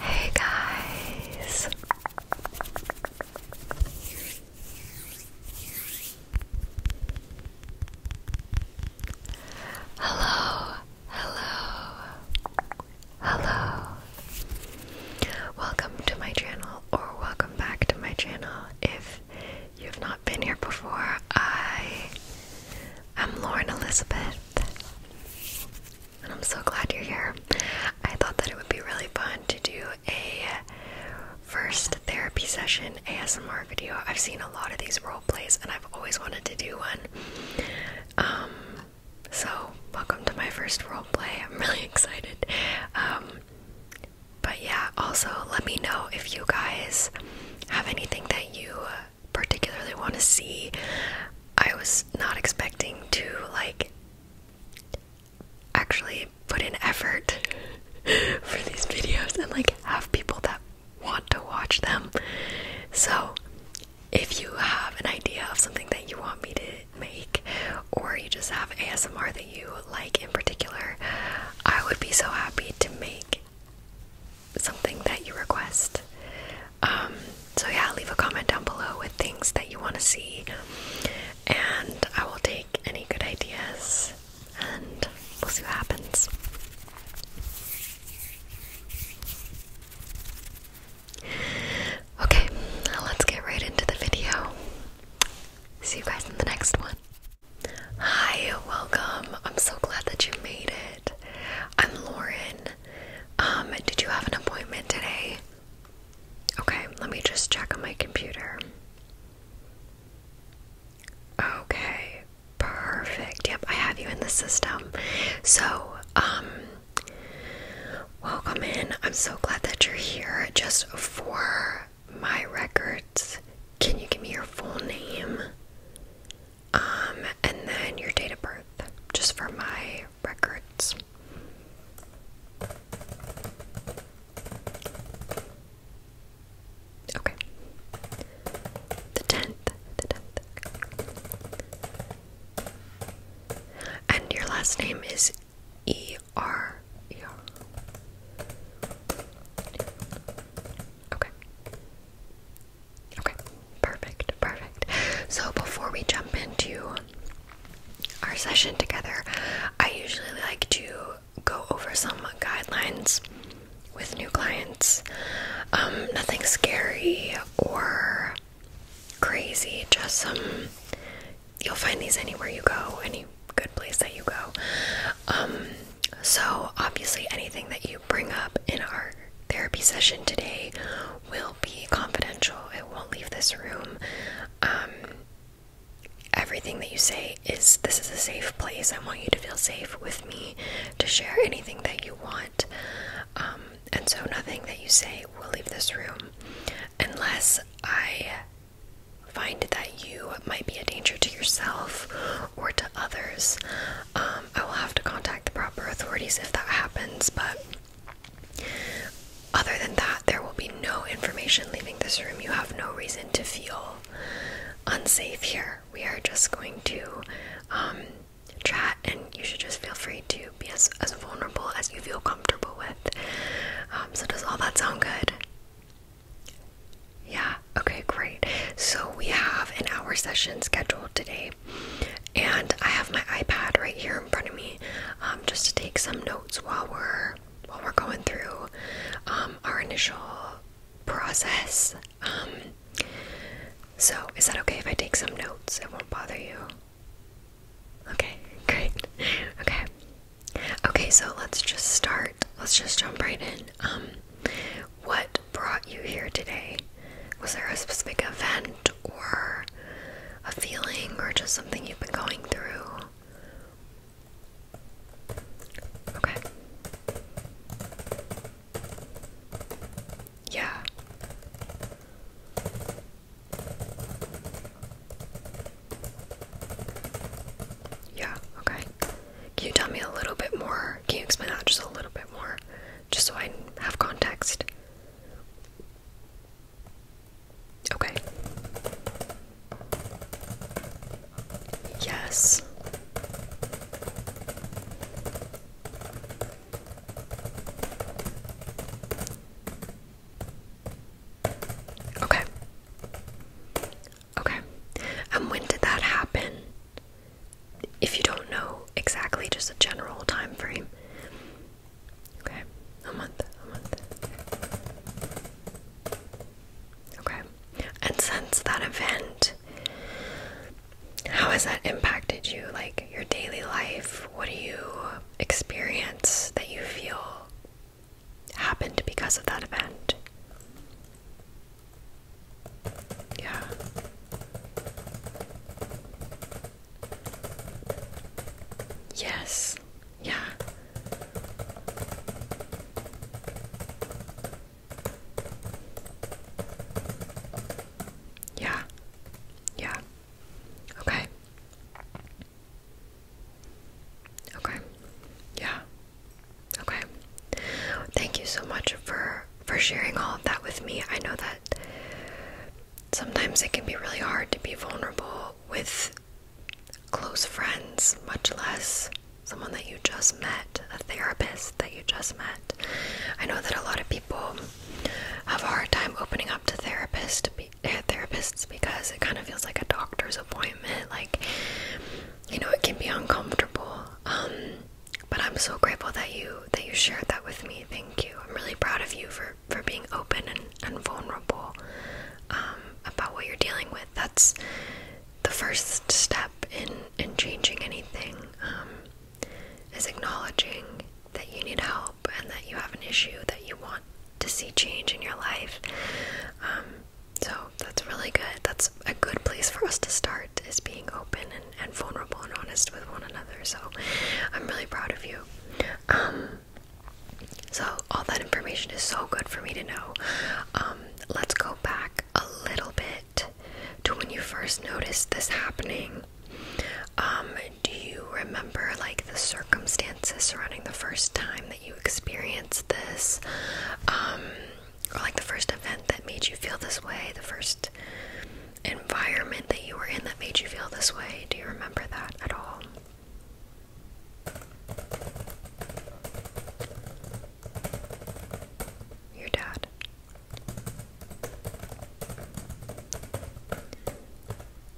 Hey guys. Hello. Hello. Hello. Welcome to my channel or welcome back to my channel if you've not been here before. I am Lauren Elizabeth. I'm so glad you're here. I thought that it would be really fun to do a first therapy session ASMR video. I've seen a lot of these role plays and I've always wanted to do one. Um, so welcome to my first role play. I'm really excited. Um, but yeah, also let me know if you guys have anything that you particularly want to see. I was not expecting to like actually put in effort for these videos and like have people that want to watch them. So, if you have an idea of something that you want me to make, or you just have ASMR that you like in particular, I would be so happy to make something that you request. Um, so, yeah, leave a comment down below with things that you want to see, and I will take any good ideas and we'll see what happens. Okay, let's get right into the video. See you guys in the next one. Hi, welcome. I'm so glad that you made it. I'm Lauren, um, did you have an appointment today? Okay, let me just check on my computer. Okay, perfect. Yep, I have you in the system. So, um, welcome in. I'm so glad that you're here. Just for my records, can you give me your full name? um, and then your date of birth, just for my records. Okay. The 10th, the 10th. And your last name is E R E R. Okay. Okay, perfect, perfect. So before we jump into our session together, I usually like to go over some guidelines with new clients. Um, nothing scary or crazy, just some. You'll find these anywhere you go, any good place that you go. Um, so, obviously, anything that you bring up in our therapy session today will be confidential. It won't leave this room. Um, everything that you say is this is a safe place. I want you to feel safe with me to share anything that you want. Um, and so nothing that you say will leave this room unless I find that you might be a danger to yourself or to others. Um, I will have to contact the proper authorities if that happens, but other than that, there will be no information leaving this room. You have no reason to feel unsafe here. We are just going to um, chat, and you should just feel free to be as, as vulnerable as you feel comfortable with. Um, so, does all that sound good? Yeah, okay, great. So, we have an hour session scheduled today and I have my iPad right here in front of me, um, just to take some notes while we're while we're going through um, our initial process. Um, so, is that okay if I take some notes? It won't bother you. Okay, great. Okay. Okay, so let's just start. Let's just jump right in. what brought you here today? Was there a specific event or a feeling or just something you've been going through? Okay. Yeah. Yeah, okay. Can you tell me a little bit more? Can you explain that just a little bit more? Just so I have context. Okay. Yes. Okay. Okay. And when did that happen? If you don't know, exactly, just a general time frame. Okay, a month, a month. Okay, and since that event, how has that impacted you? Like your daily life? What do you experience that you feel happened because of that event? Yeah. Yes. Yeah. Yeah. Yeah. Okay. Okay. Yeah. Okay. Thank you so much for for sharing all of that with me. I know that sometimes it can be really hard to be vulnerable with close friends, much less someone that you just met, a therapist that you just met. I know that a lot of people have a hard time opening up to eh, therapists, because it kind of feels like a doctor's appointment. Like, you know, it can be uncomfortable. Um, but I'm so grateful that you that you shared that with me Thank you. I'm really proud of you for for being open and, and vulnerable um, about what you're dealing with. That's the first step in in changing anything um, is acknowledging that you need help and that you have an issue that you want to see change in your life. Um, so that's really good. That's a good place for us to start is being open and and vulnerable and honest with one another. So I'm really proud of you. Um, so all that information is so good for me to know. Um, let's go back a little bit to when you first noticed this happening. Um, do you remember like the circumstances surrounding the first time that you experienced this? or like the first event that made you feel this way, the first environment that you were in that made you feel this way? Do you remember that at all? Your dad.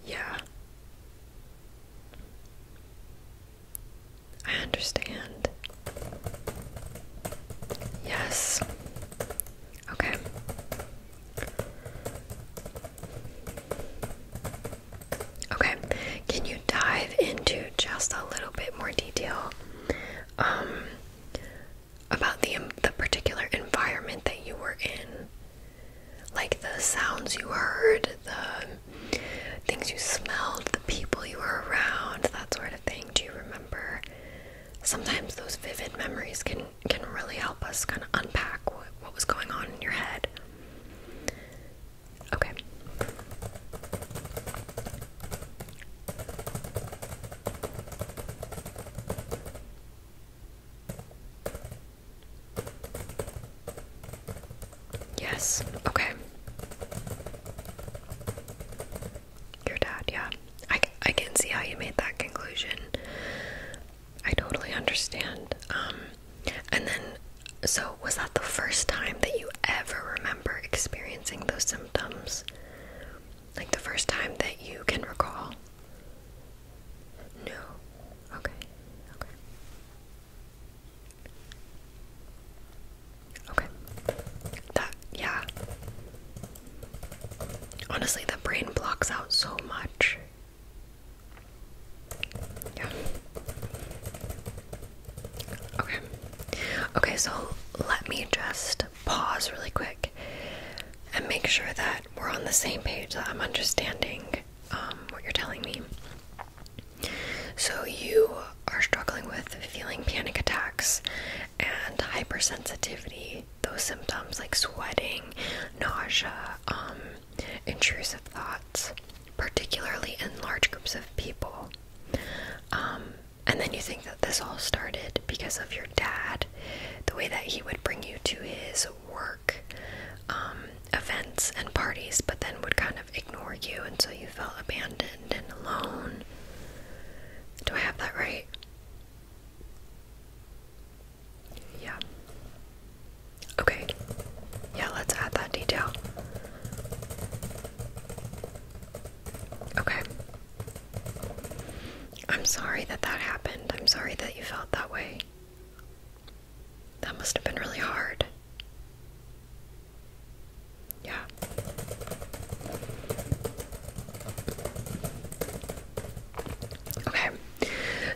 Yeah. I understand. Yes. Okay. Okay. Can you dive into just a little bit more detail um, about the the particular environment that you were in? Like the sounds you heard, the things you smelled, the people you were around, that sort of thing. Do you remember? Sometimes those vivid memories can can really help us kind of unpack what, was going on in your head. Okay. Yes, okay. Your dad, yeah. I, I can see how you made that conclusion. I totally understand. Um, and then, so was that the first time that you ever remember experiencing those symptoms? Like the first time that you can recall? No. Okay. Okay. Okay. That, yeah. Honestly, the brain blocks out so much. Yeah. Okay. Okay, so let me just pause really quick and make sure that we're on the same page, that I'm understanding um, what you're telling me. So, you are struggling with feeling panic attacks and hypersensitivity those symptoms like sweating, nausea, um, intrusive thoughts, particularly in large groups of people. Um, and then you think that this all started because of your dad, the way that he would bring you to his work um, events and parties, but then would kind of ignore you until you felt abandoned and alone. Do I have that right? Yeah. Okay. Yeah, let's add that detail. Okay. I'm sorry that that happened. I'm sorry that you felt that way. That must have been really hard. Yeah. Okay,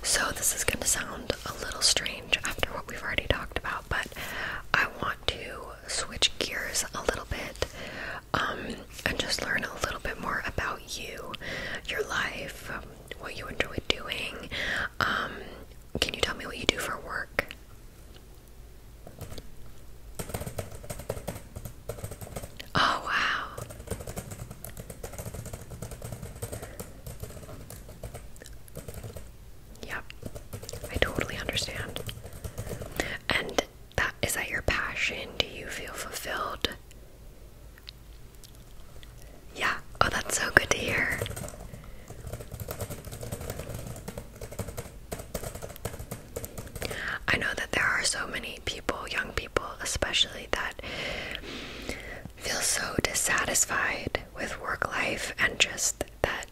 so this is gonna sound a little strange after what we've already talked about, but I want to switch gears a little bit um, and just learn a little bit more about you, your life, um, what you enjoy doing. Um, can you tell me what you do for work? Oh, wow. Yep, I totally understand. And that is that your passion? Do you feel fulfilled? Yeah, oh, that's so good to hear. I know that there are so many people, young people especially, that feel so dissatisfied with work life and just that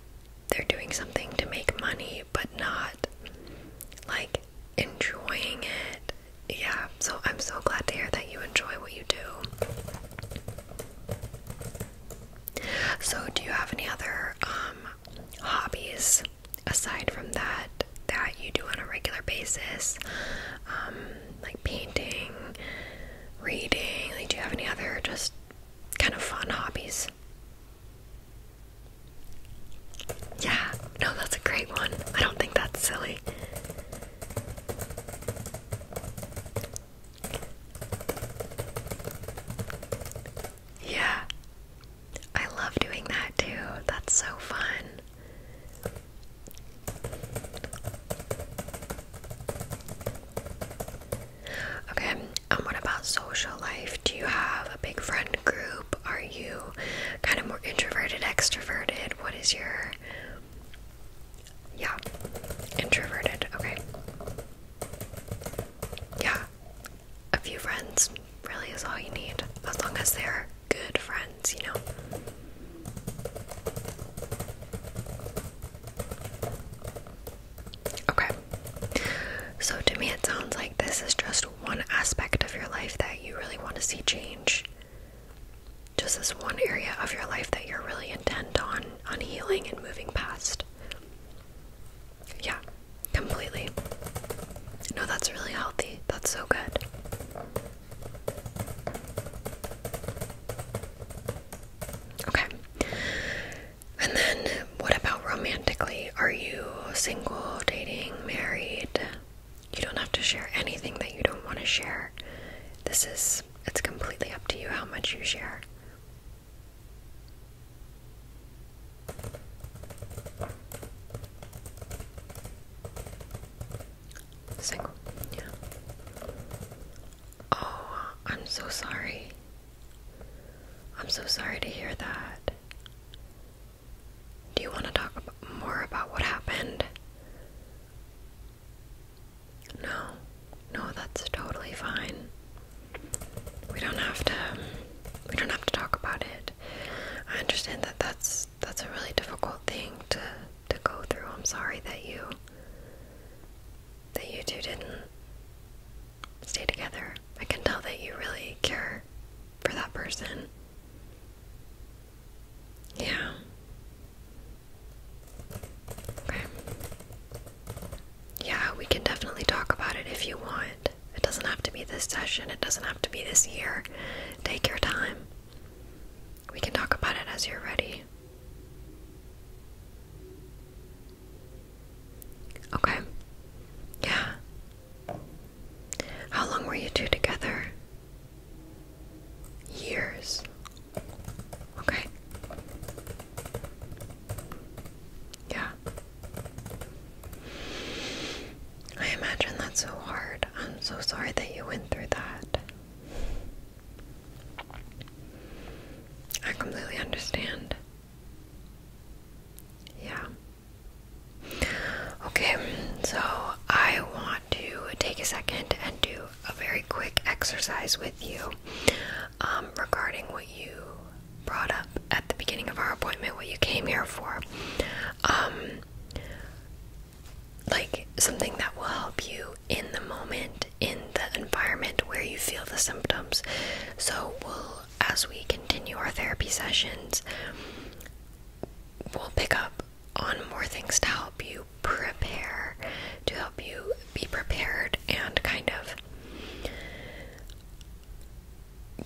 they're doing something to make money but not like enjoying it. Yeah, so I'm so glad to hear that you enjoy what you do. So, do you have any other um, hobbies? aside from that that you do on a regular basis um, like painting reading do you have any other just kind of fun hobbies yeah no that's a great one i don't think that's silly yeah I love doing that too. That's so fun. Okay, and what about social life? Do you have a big friend group? Are you kind of more introverted, extroverted? What is your. Yeah, introverted, okay. Yeah, a few friends really is all you need, as long as they're good friends, you know. Okay, so to me, it sounds like this is just one aspect of your life that you really want to see change. Just this one area of your life that you're really intent on on healing and moving past. Yeah, completely. No, that's really healthy. That's so good. Okay. And then what about romantically? Are you single, dating, married? You don't have to share anything that you don't want to share. This is it's completely up to you how much you share. Single. Yeah. Oh, I'm so sorry. I'm so sorry to hear that. Do you want to talk more about what happened? No. No, that's totally fine. We don't have to we don't have to talk about it. I understand that that's that's a really difficult thing to to go through. I'm sorry that you that you two didn't stay together. I can tell that you really care for that person. Yeah. Okay. Yeah, we can definitely talk about it if you want. It doesn't have to be this session, it doesn't have to be this year. Take your time. We can talk about it as you're ready. Okay. Yeah. How long were you two together? Years. Okay. Yeah. I imagine that's so hard. I'm so sorry that you went through that. I completely understand. Yeah. Okay, so I want to take a second and do a very quick exercise with you um, regarding what you brought up at the beginning of our appointment, what you came here for. Um, like something that will help you in the moment, in the environment where you feel the symptoms. So, we'll, as we continue our therapy sessions, we'll pick up on more things to help you prepare, to help you be prepared and kind of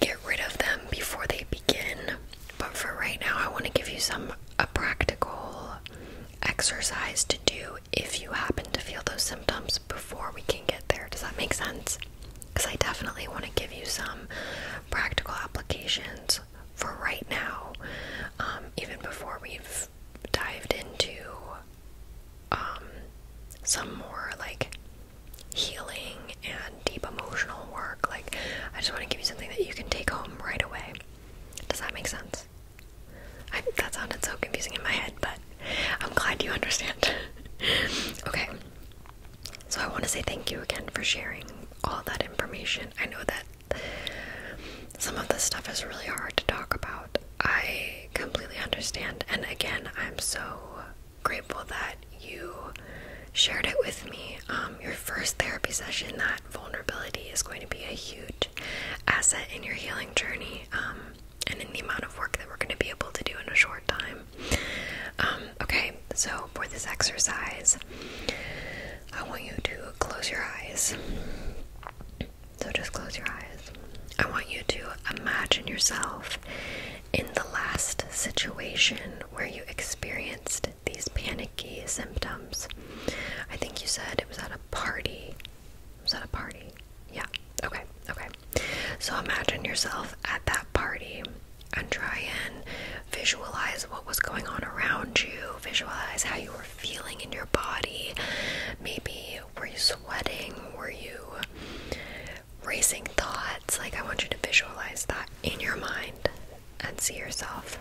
get rid of them before they begin. But for right now, I want to give you some a practical exercise to do if you happen to feel those symptoms before we can get there. Does that make sense? Because I definitely want to give you some practical applications for right now, um, even before we've dived into um, some more like healing and deep emotional work. Like, I just want to give you something that you can take home right away. Does that make sense? that sounded so confusing in my head, but I'm glad you understand. okay. So I want to say thank you again for sharing all that information. I know that some of this stuff is really hard to talk about. I completely understand. And again, I'm so grateful that you shared it with me. Um, your first therapy session, that vulnerability is going to be a huge asset in your healing journey um, and in the amount of work that we're going to be able to do in a short time. Um, okay, so for this exercise, I want you to close your eyes. So just close your eyes. I want you to imagine yourself in the last situation where you experienced these panic symptoms. I think you said it was at a party. was at a party. Yeah. Okay. Okay. So imagine yourself at that party and try and visualize what was going on around you. Visualize how you were feeling in your body. Maybe were you sweating? Were you racing thoughts? Like I want you to visualize that in your mind and see yourself.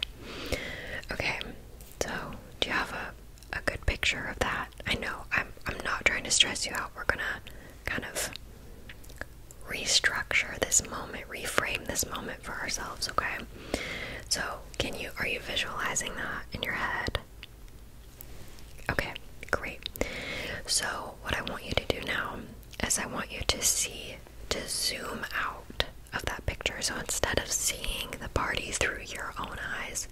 Okay, so do you have a, a good picture of that? I know I'm I'm not trying to stress you out. We're gonna kind of restructure this moment, reframe this moment for ourselves, okay? So can you are you visualizing that in your head? Okay, great. So what I want you to do now is I want you to see to zoom out of that picture. So instead of seeing the party through your own eyes,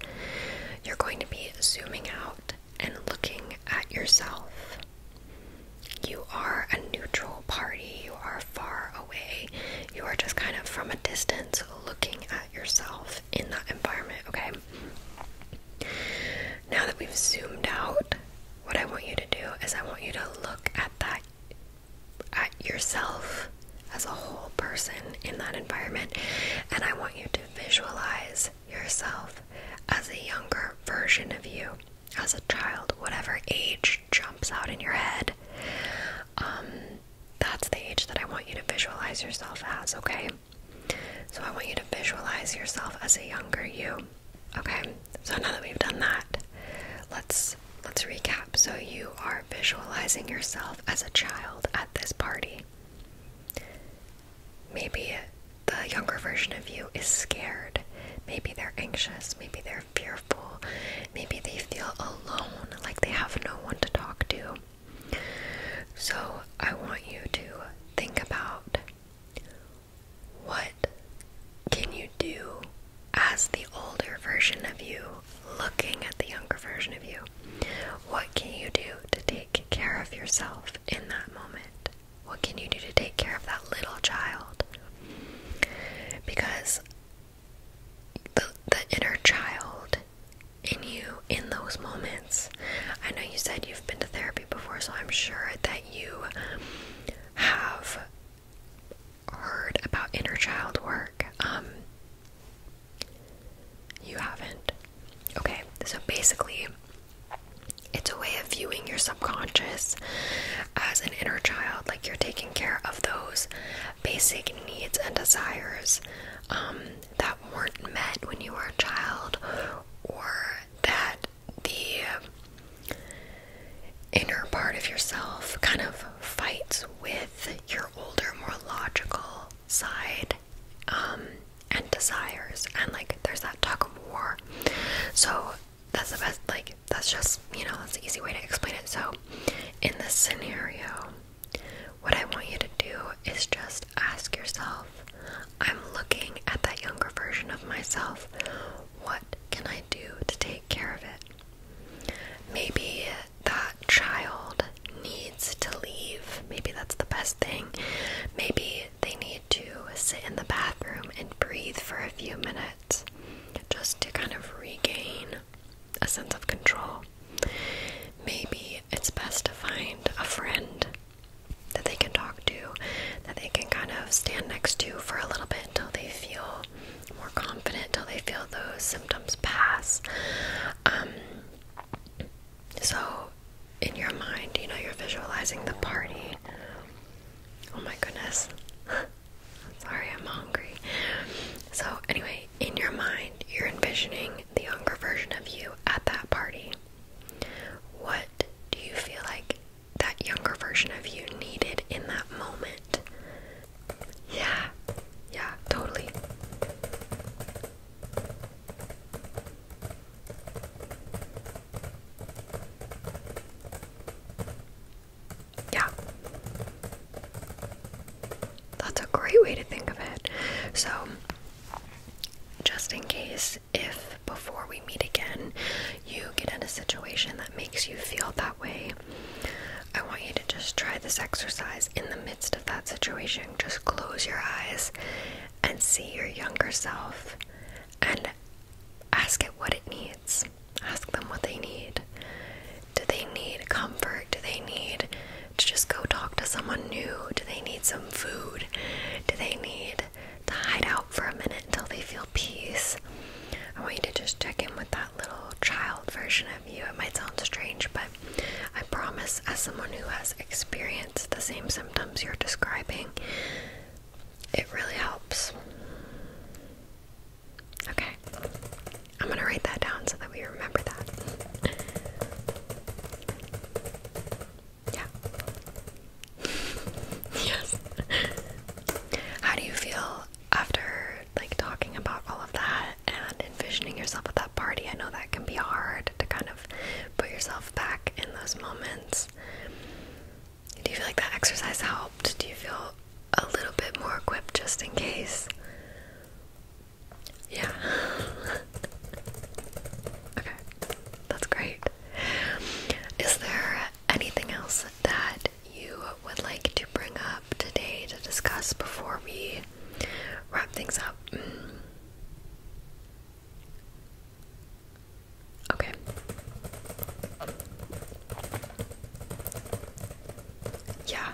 you're going to be zooming out and looking at yourself. You are a neutral party, you are far away, you are just kind of from a distance looking at yourself in that environment, okay? Now that we've zoomed out, what I want you to do is I want you to look at that at yourself as a whole person in that environment and I want you to visualize yourself as a younger version of you as a child whatever age jumps out in your head um that's the age that I want you to visualize yourself as okay so I want you to visualize yourself as a younger you Okay, so now that we've done that, let's let's recap. So you are visualizing yourself as a child at this party. Maybe the younger version of you is scared. Maybe they're anxious. Maybe they're fearful. Maybe they feel alone, like they have no one to talk to. So I want you to think about what can you do as the older version of you looking at the younger version of you? What can you do to take care of yourself in that moment? What can you do to take care of that little child? Because the, the inner child in you in those moments. I know you said you've been to therapy before, so I'm sure that you have heard about inner child work. Um, you haven't. Okay, so basically, it's a way of viewing your subconscious as an inner child, like you're taking care of those basic needs and desires um, that weren't met when you were a child or that the inner part of yourself kind of fights with your older, more logical side um, and desires, and like there's that tug of war. So that's the best, like, that's just you know, that's the easy way to explain it. So, in this scenario, what I want you to do is just ask yourself I'm looking at that younger version of myself. What can I do to take care of it. Maybe that child needs to leave. Maybe that's the best thing. Maybe they need to sit in the bathroom and breathe for a few minutes just to kind of regain a sense of control. Maybe it's best to find a friend that they can talk to, that they can kind of stand next to for a little bit until they feel more confident till they feel those symptoms pass. Um, so, in your mind, you know, you're visualizing the party. Oh my goodness. Sorry, I'm hungry. So, anyway, in your mind, you're envisioning the younger version of you at that party. What do you feel like that younger version of you needed in that moment. Yeah, yeah, totally. Yeah. That's a great way to think of it. So, just in case, if before we meet again you get in a situation that makes you feel that way, I want you to just try this exercise in the midst of that situation. Just close your eyes and see your younger self and ask it what it needs. Ask them what they need. Do they need comfort? Do they need to just go talk to someone new? Do they need some food? Do they need to hide out for a minute until they feel peace. I want you to just check in with that little child version of you. It might sound strange, but I promise, as someone who has experienced the same symptoms you're describing, it really helps. Okay, I'm gonna write that down so that we remember that. Yeah. yes. How do you feel after like talking about all of that and envisioning yourself at that party, I know that can be hard to kind of put yourself back in those moments. Do you feel like that exercise helped? Do you feel a little bit more equipped just in case? Yeah. okay, that's great. Is there anything else that you would like to bring up today to discuss before we wrap things up. Mm. Okay. Yeah.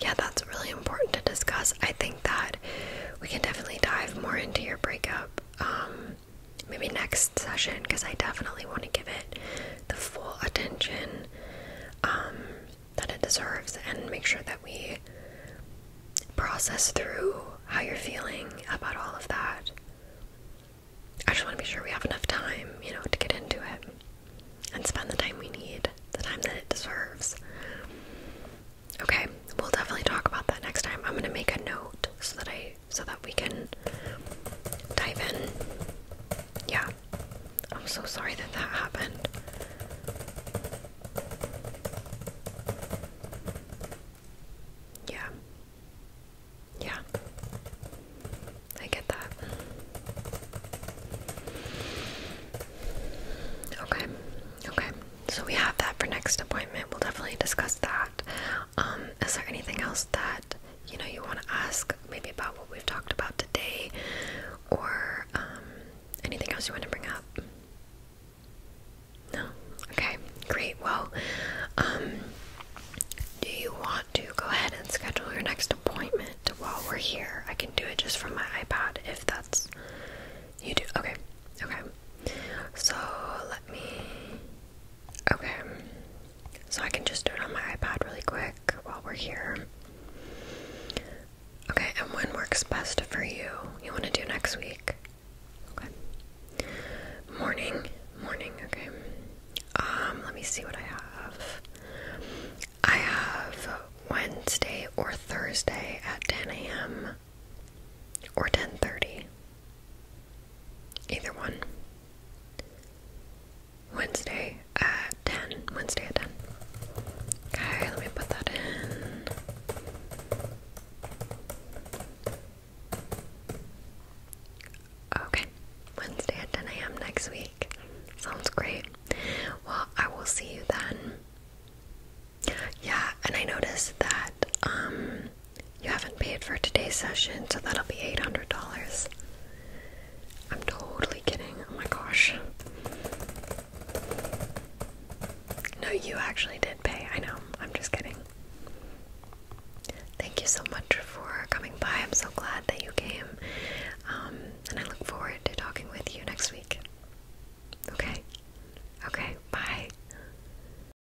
Yeah, that's really important to discuss. I think that we can definitely dive more into your breakup um, maybe next session because I definitely want to give it the full attention um, that it deserves and make sure that we process through how you're feeling about all of that. I just want to be sure we have enough time, you know, to get into it and spend the time we need, the time that it deserves. Okay, we'll definitely talk about that next time. I'm going to make a note so that I so that we can dive in. Yeah. I'm so sorry that that happened. Yeah. Yeah. I get that. Okay. Okay. So we have that for next appointment. We'll definitely discuss that. Um, is there anything else that you know you want to ask maybe about what we've talked about today or um, anything else you want to bring up? No? Okay, great. Well, um, do you want to go ahead and schedule your next appointment while we're here? I can do it just from my iPad if that's you do. Okay, okay. So let me Okay, so I can just do it on my iPad really quick while we're here. Okay, and when works best for you? You want to do next week? Okay. Morning, morning, okay. Um, let me see what I have. I have Wednesday or Thursday at 10 a.m or 10:30. Either one. Wednesday at 10. Wednesday at 10. Okay, let me put that in. Okay, Wednesday at 10 a.m. next week. Sounds great. Well, I will see you then. Yeah, and I noticed that um, you haven't paid for today's session, so that'll be $800. I'm totally kidding. Oh my gosh. No, you actually did pay. I know. I'm just kidding. Thank you so much for coming by. I'm so glad that you came. Um, and I look forward to talking with you next week. Okay? Okay, bye.